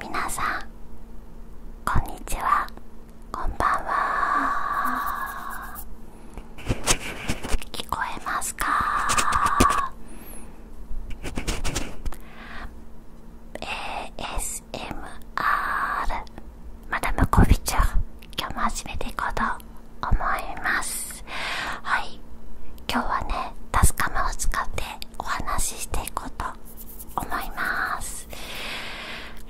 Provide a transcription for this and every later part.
みなさんこんにちはこんばんは聞こえますか ASMR マダムコビチュ今日も始めていこうと思いますはい今日はねタスカムを使ってお話ししていこうと思います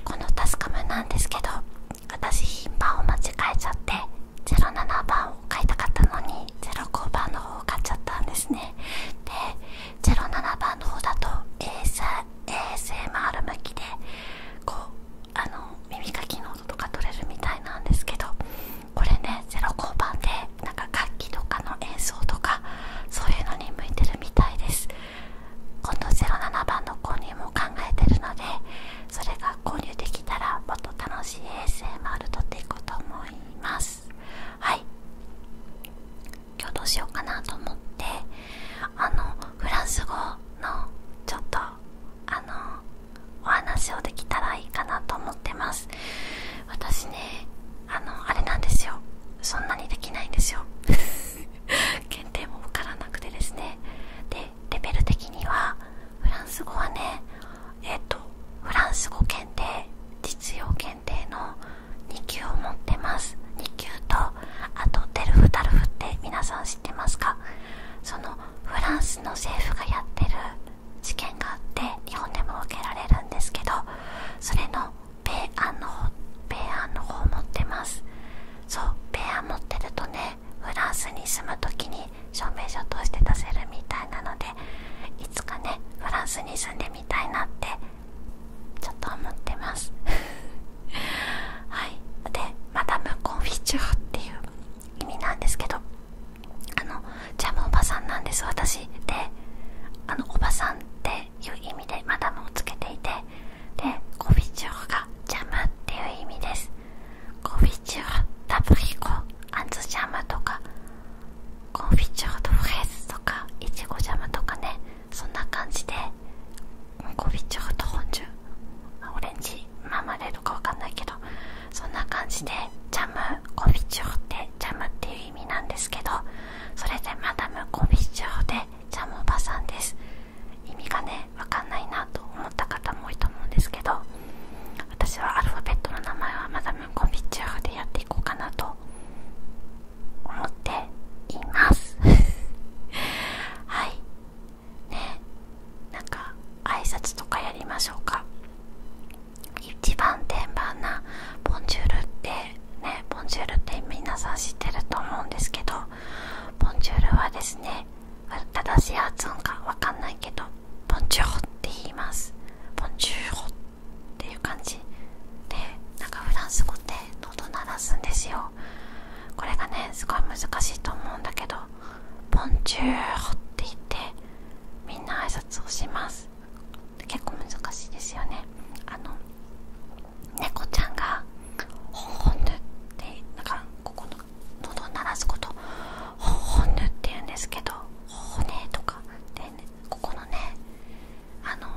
このタスカムなんですけど私品番を間違えちゃって07番を買いたかったのに05番の方を買っちゃったんですねで07番の方だと ASMR 向きでこうあの耳かきの音とか取れるみたいなんですけどこれねゼロ交番でなんか楽器とかの演奏とかそういうのに向いてるみたいです今度07番の購入も考えてるのでそれが購入できたらもっと楽しい ASMR 撮っていこうと思いますはい今日どうしようかなと思ってあのフランス語のちょっとあのお話をできたらいいかなと思ってます私ねあのあれなんですよそんなにできないんですよ検 定も分からなくてですねでレベル的にはフランス語はねえっ、とフランス語検定実用検定の2級を持ってます2級とあとデルフタルフって皆さん知ってますかそのフランスの政府がやってる試験があって日本でも受けられるんですけどそれの米安の方米安の方持ってますそう米安持ってるとねフランスに住む時に証明書として出せるみたいなのでいつかねフランスに住んでみたいなってちょっと思ってます はいでマダム・コンフィチャーっていう意味なんですけどあのジャおばさんなんです私であのおばさんっていう意味でマダムをつけていてでコフチューがジャムっていう意味ですコフチュータブリコアンズジャムとかコンフィチューとフレーズとかいちごジャムとかねそんな感じでコンフィチューと本ジオレンジマーマレードかわかんないけどそんな感じでジャムコンフィチューってジャムっていう意味なんですけどそれでマダムコンフィチューでジャムおばさんです意味がね分かんないなと思った方も多いと思うんですけど私はアルファベットの名前はマダムコンフィチューでやっていこうかなと思っています はいねなんか挨拶とかやりましょうか一番天板な「ボンジュール」ってね「ボンジュール」って皆さん知ってると思うんですけど「ボンジュール」はですね正しい発音かわかんないけど「ボンジュホって言います「ボンジュホっていう感じでなんかフランス語で喉鳴らすんですよこれがねすごい難しいと思うんだけどポンチューホって言ってみんな挨拶をします結構難しいですよねあの猫ちゃんがホンホヌってなんかここの喉を鳴らすことホンホヌって言うんですけど骨とかで、ね、ここのねあの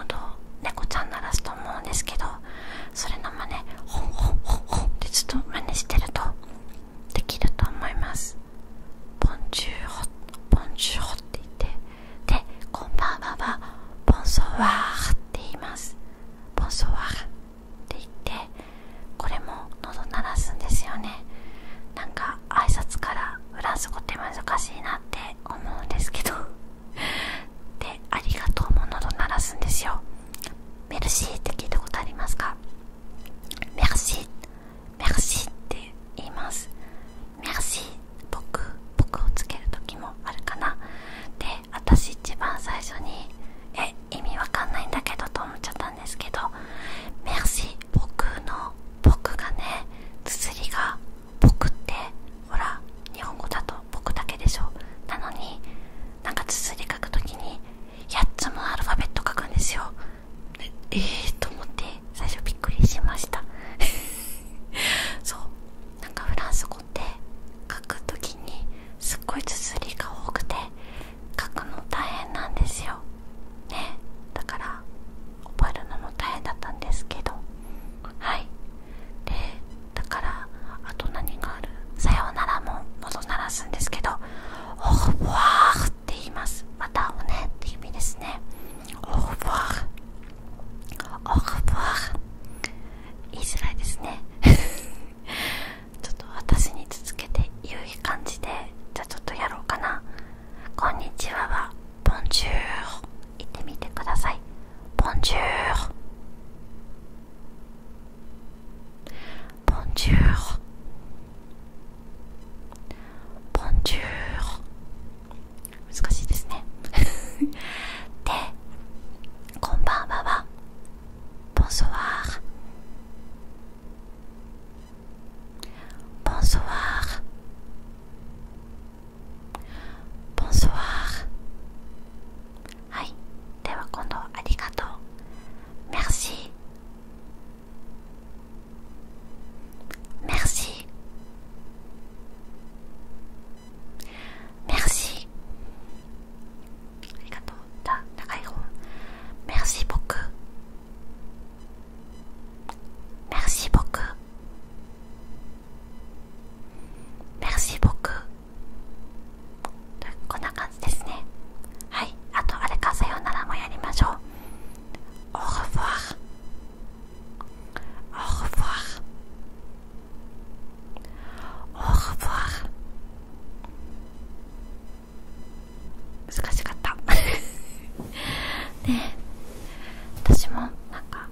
喉を猫ちゃん鳴らすと思うんですけどそれの真似ホンホンホンホンってずっと真似してるとできると思いますポンチューホポンチューホって言ってでこんばんはは、ポンソワーって言いますポンソワーって言ってこれも喉鳴らすんですよねなんか挨拶からフランス語って難しいなって思うんですけど でありがとうものと鳴らすんですよメルシーって聞いたことありますかメルシーメルシーって言いますメルシー僕僕をつける時もあるかなで私一番最初にえ意味わかんないんだけどと思っちゃったんですけどメルシー僕の僕がね綴りが僕ってほら日本語だと僕だけでしょなのになんか綴り書くときに8つもアルファベット書くんですよええー、と思って最初びっくりしました そうなんかフランス語って書くときにすっごい綴りが多くて書くの大変なんですよねだから覚えるのも大変だったんですけどはいでだからあと何があるさようならも喉鳴らすんですけど「オフォー」って言いますまたおねって意味ですねおフォーオフォー言いづらいですね ちょっと私に続けて言う感じでじゃあちょっとやろうかなこんにちははボンジュール言ってみてくださいボンジュールボンジュールボンジュール難しいですね でこんばんははボンソワールボンソワールボンソワーはいでは今度はありがとうメルシーメルシーメルシーありがとうだ長い方メルシー僕 Merci beaucoup. Merci beaucoup. こんな感じですね。はい。あと、あれか、さようならもやりましょう。Au revoir. Au revoir. Au revoir. 難しかった 私もなんか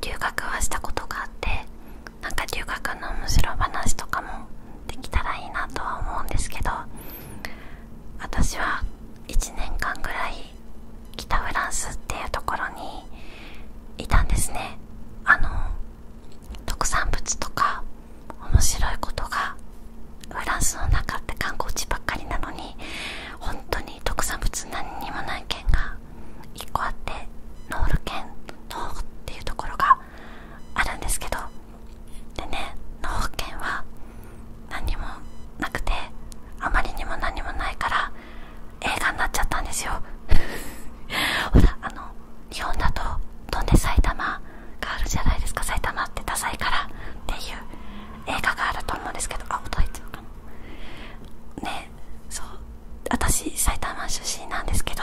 留学はしたことがあってなんか留学の面白い話とかもできたらいいなとは思うんですけど私は1年間ぐらい北フランスっていうところにいたんですねあの特産物とか面白いことがフランスの中って観光地ばっかりなのに本当に特産物何にもない県が1個あってノール県ノーっていうところがあるんですけどでねノー県は何にもなくてあまりにも何もないから映画になっちゃったんですよ ほらあの日本だと「飛んで埼玉」があるじゃないですか埼玉ってダサいからっていう映画があると思うんですけどあ音入ってるかなねそう私埼玉出身なんですけど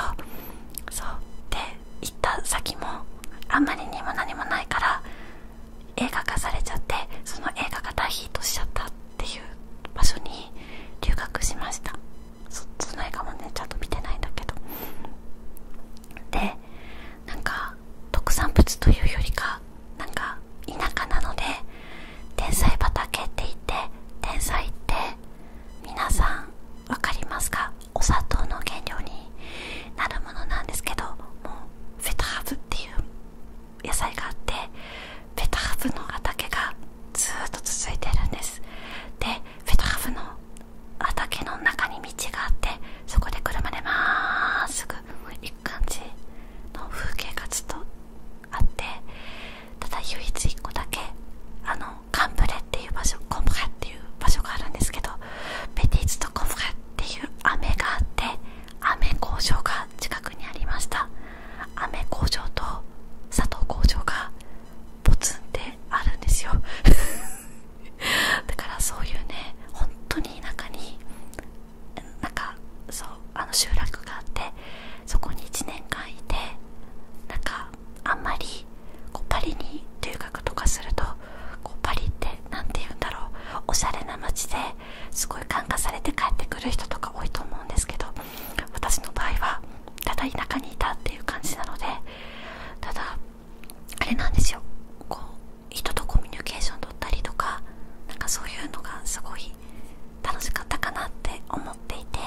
そうで行った先もあんまりにも何もないから映画化されちゃってその映画が大ヒットしちゃったっていう場所に留学しましたそその映画もねちゃんと見てないんだけどでなんか特産物というよりかなんか田舎なので天才畑って言って天才って皆さん分かりますかお砂糖の原料になるものなんですけどもうフェタハブっていう野菜があってフェタハブの畑がずっと続いてるんですでフェタハブの畑の中に道があってそこで車でまーすぐ行く感じの風景がずっとあってただ唯一1個だけあのカンブレっていう場所コンブレっていう場所があるんですけどベティーズとコンブレっていう雨があって雨工場が近くにありました雨工場と佐藤工場がポツってあるんですよ だからそういうね本当に中になんかそうあの集落があってそこに1年間いてなんかあんまりこうパリに留学とかするとこうパリって何て言うんだろうおしゃれな街ですごい感化されて帰ってくる人とか多いと思うんですけど私の場合はただ田舎にいたっていう感じなのでただあれなんですよこう人とコミュニケーション取ったりとかなんかそういうのがすごい楽しかったかなって思っていて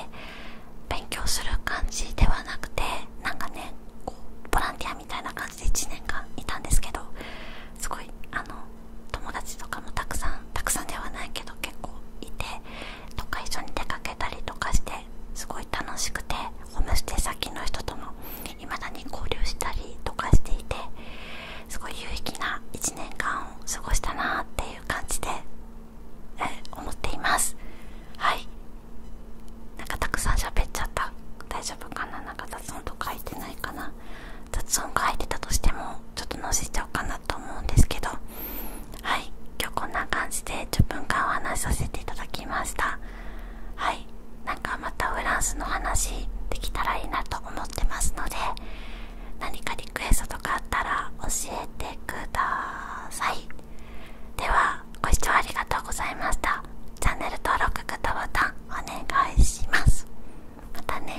勉強する感じではなくてなんかねボランティアみたいな感じで1年間いたんですけどすごいあの友達とかもたくさんたくさんではないけど結構いてとか一緒に出かけたりとかしてすごい楽しくてホームステイ先の人ともいまだに交流したりとかしていてすごい有意義な1年間を過ごしたなっていう感じでえ思っていますはいなんかたくさん喋っちゃった大丈夫かななんか雑音とか入ってないかな雑音が入ってたとしてもちょっとのじちゃおうかなと思うんですけどはい今日こんな感じで10分間お話しさせていただきましたはいなんかまたフランスの話できたらいいなと思ってますので何かリクエストとかあったら教えてくださいではご視聴ありがとうございましたチャンネル登録グッドボタンお願いしますまたね